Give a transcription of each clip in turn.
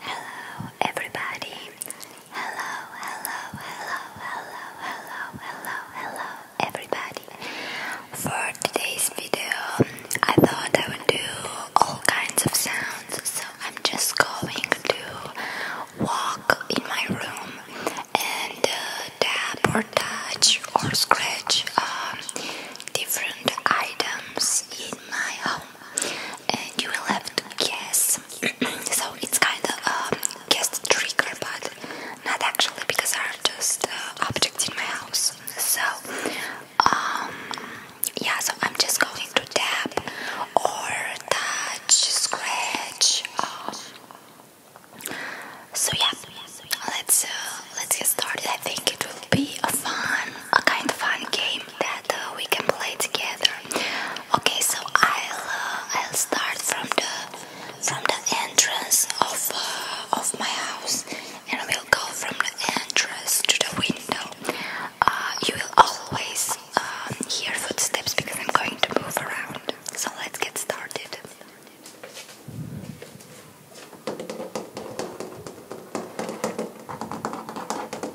Hello, everybody. Hello, hello, hello, hello, hello, hello, hello, everybody. For today's video, I thought I would do all kinds of sounds, so I'm just going to walk in my room and uh, tap or touch or scratch uh, different items in my home and you will have to guess. so it's kind of a guess trigger, but not actually because are just uh, objects in my house. So um, yeah, so I'm just going to tap or touch, scratch. Um, so yeah, let's uh, let's get started. I think it will be a fun, a kind of fun game we can play together. Okay, so I'll uh, I'll start from the from the entrance of uh, of my house, and we'll go from the entrance to the window. Uh, you will always um, hear footsteps because I'm going to move around. So let's get started.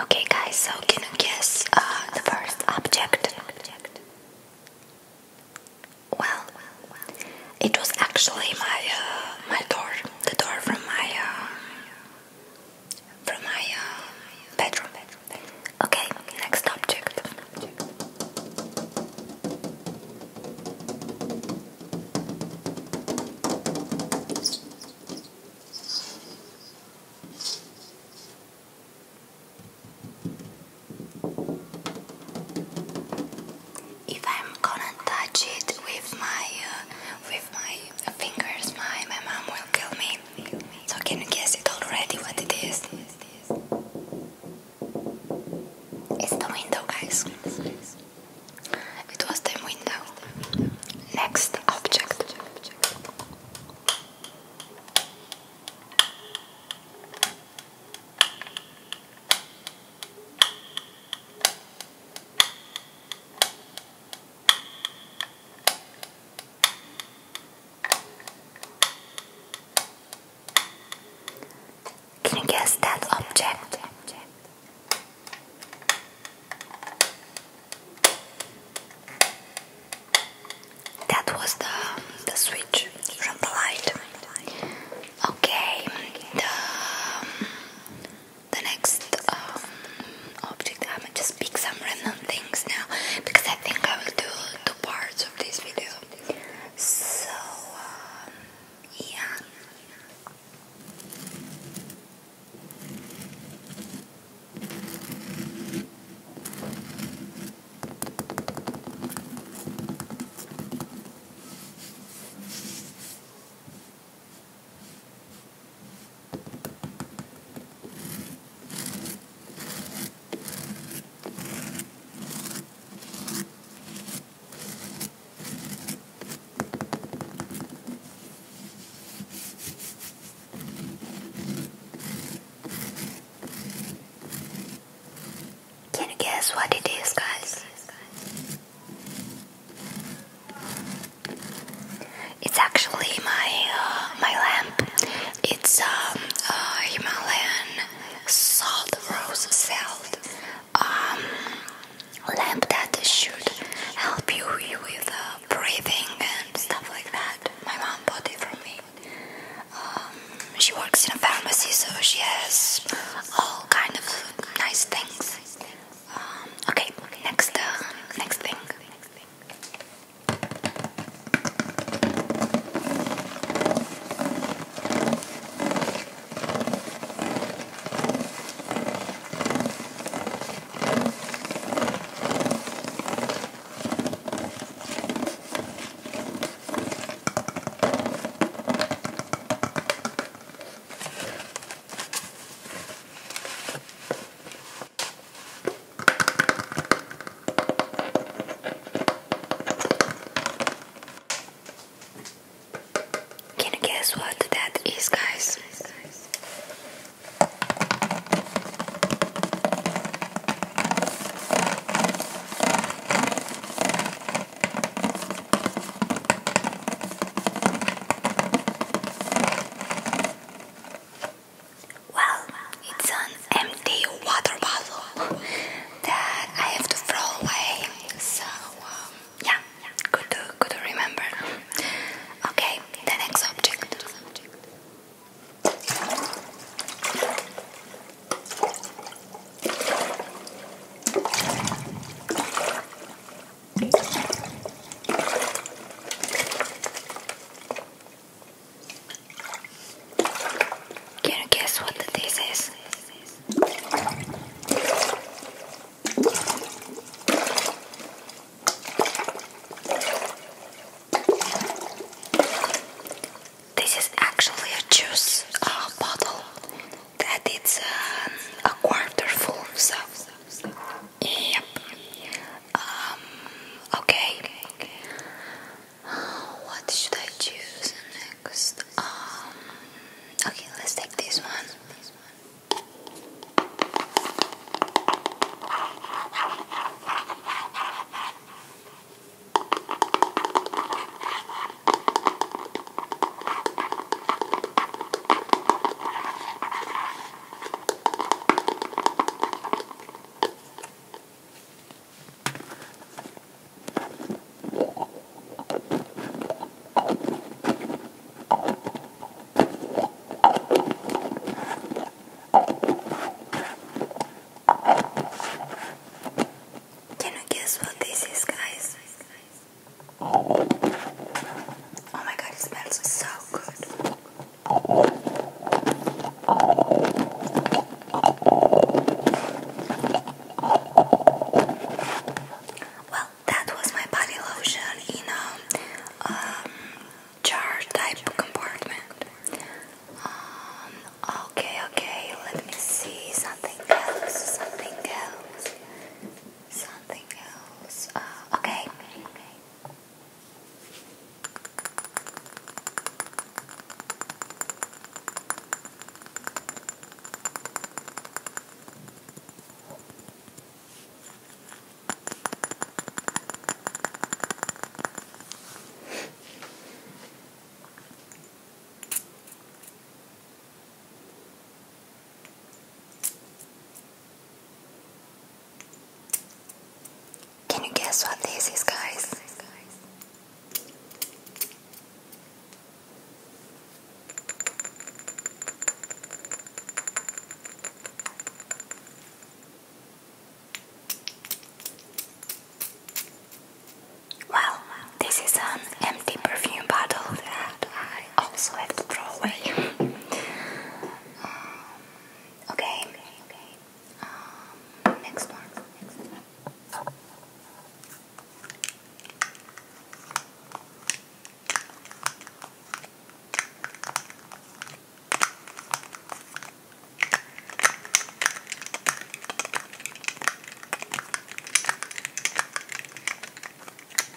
Okay, guys, so can you guess uh, the first object? Well, it was actually my uh, my door, the door from my uh, from my uh, bedroom. Okay, next object if I'm gonna touch it with my uh, with my fingers, my my mom will kill me. So can you guess it already what it is? It's the window, guys. It was the window. Next object. Can you guess that object? That was the, the switch from the light. Okay, the next um, object. I'm gonna just pick some random things now because I think I will do two parts of this video. So, um, yeah. Can you guess what it is, guys? It's actually my uh, my lamp. It's um, uh, Himalayan salt rose salt um, lamp that should help you with uh, breathing and stuff like that. My mom bought it for me. Um, she works in a pharmacy, so she has all kind of nice things okay, next, uh, next thing. Can you guess what that is, guys? Well, it's an empty water bottle that I have to throw away. So, um, yeah, good to, good to remember. Okay, the next object. Can you guess what this is? This is actually a juice uh, bottle that it's um, a quarter full, so yep. Um, okay. What should I choose next? Um, okay, let's take this one. Can you guess what this is, guys? Oh my god, it smells so good. Well, that was my body lotion in a um, um, jar type compartment. Um, okay, okay, let me see something else, something else something else. Uh, okay. Can you guess what this is, guys? Well, this is an empty perfume bottle I also have to throw away. okay, okay, okay. Um, Next one.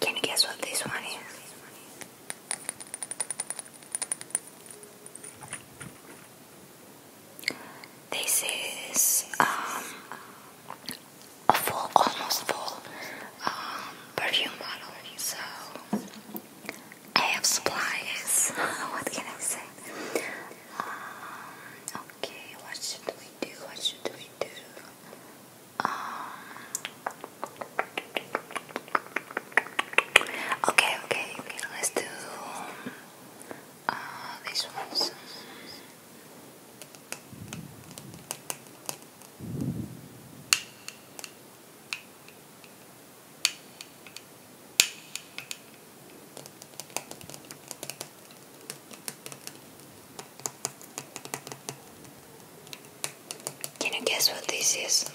Can you guess what this one is? This is um, a full, almost full um, perfume bottle. So I have supplies. what can I say? Um, okay, what should we do? What should we do? Um, okay, okay, okay, let's do uh, these ones. Can you guess what this is?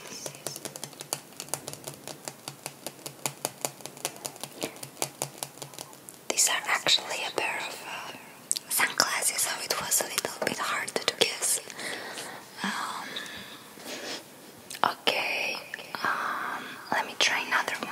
These are actually a pair of uh, sunglasses, so it was a little bit hard to guess. Um, okay, um, let me try another one.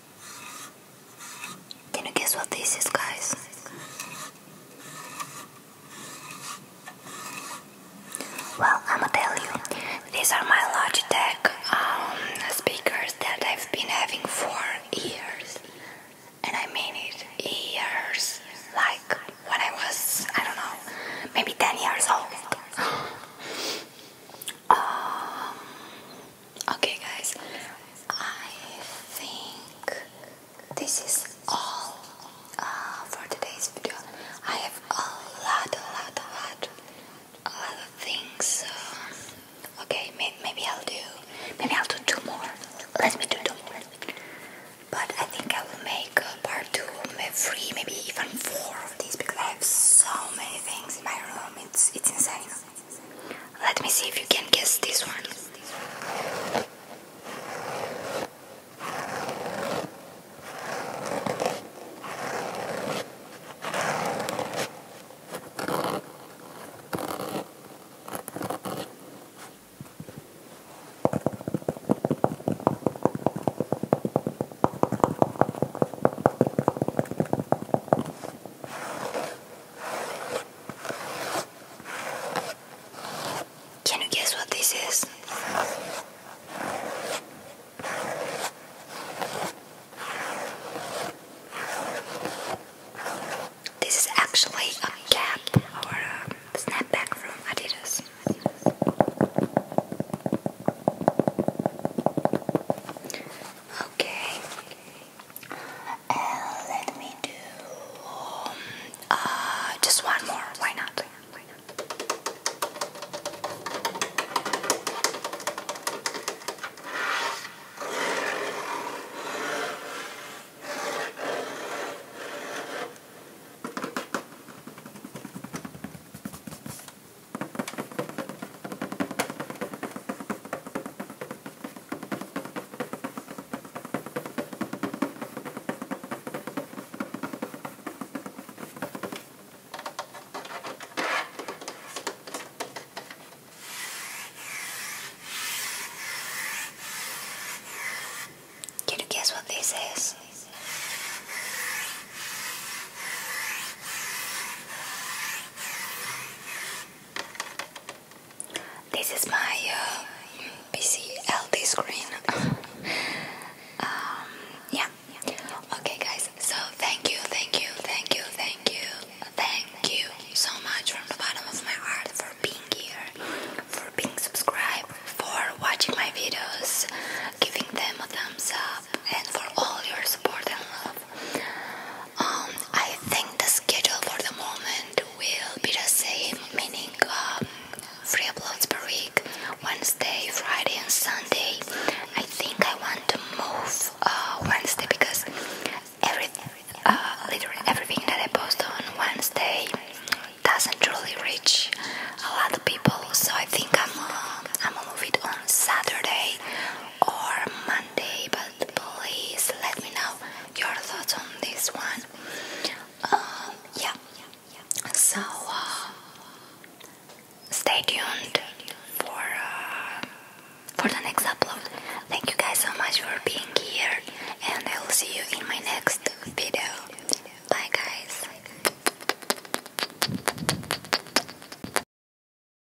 Can you guess what this is, guys? Well, I'ma tell you, these are my Logitech um, speakers that I've been having for years. And I mean it, years. Like when I was, I don't know, maybe 10 years old. Um, okay, guys, I think this is all uh, for today's video. I have a lot, a lot, a lot, a lot of things. okay, maybe I'll do, maybe I'll do two more. Let us do two more. But I think I will make part two, maybe three, maybe even four of these because I have so many things in my room. It's it's insane. Let me see if you can guess this one. Can you guess what this is? This is actually a cap or a snapback from Adidas. Okay, and let me do uh, just one more. Why not? Why not? Can you guess what this is? This is my uh, PC LCD screen. Um, yeah. Okay, guys. So thank you, thank you, thank you, thank you, thank you so much from the bottom of my heart for being here, for being subscribed, for watching my videos, giving them a thumbs up, and for all your support and love. Um, I think the schedule for the moment will be the same, meaning um, three uploads per week, Wednesday, Friday, and Sunday. I think I want to move uh, Wednesday because every, uh, literally everything that I post on Wednesday doesn't truly reach a lot of people. So I think I'm uh, I'm gonna move it on Saturday or Monday, but please let me know your thoughts on this one. Um, yeah, so uh, stay tuned for uh, for the next upload. Thank you guys so much for being here, and I will see you in my next video. Bye, guys.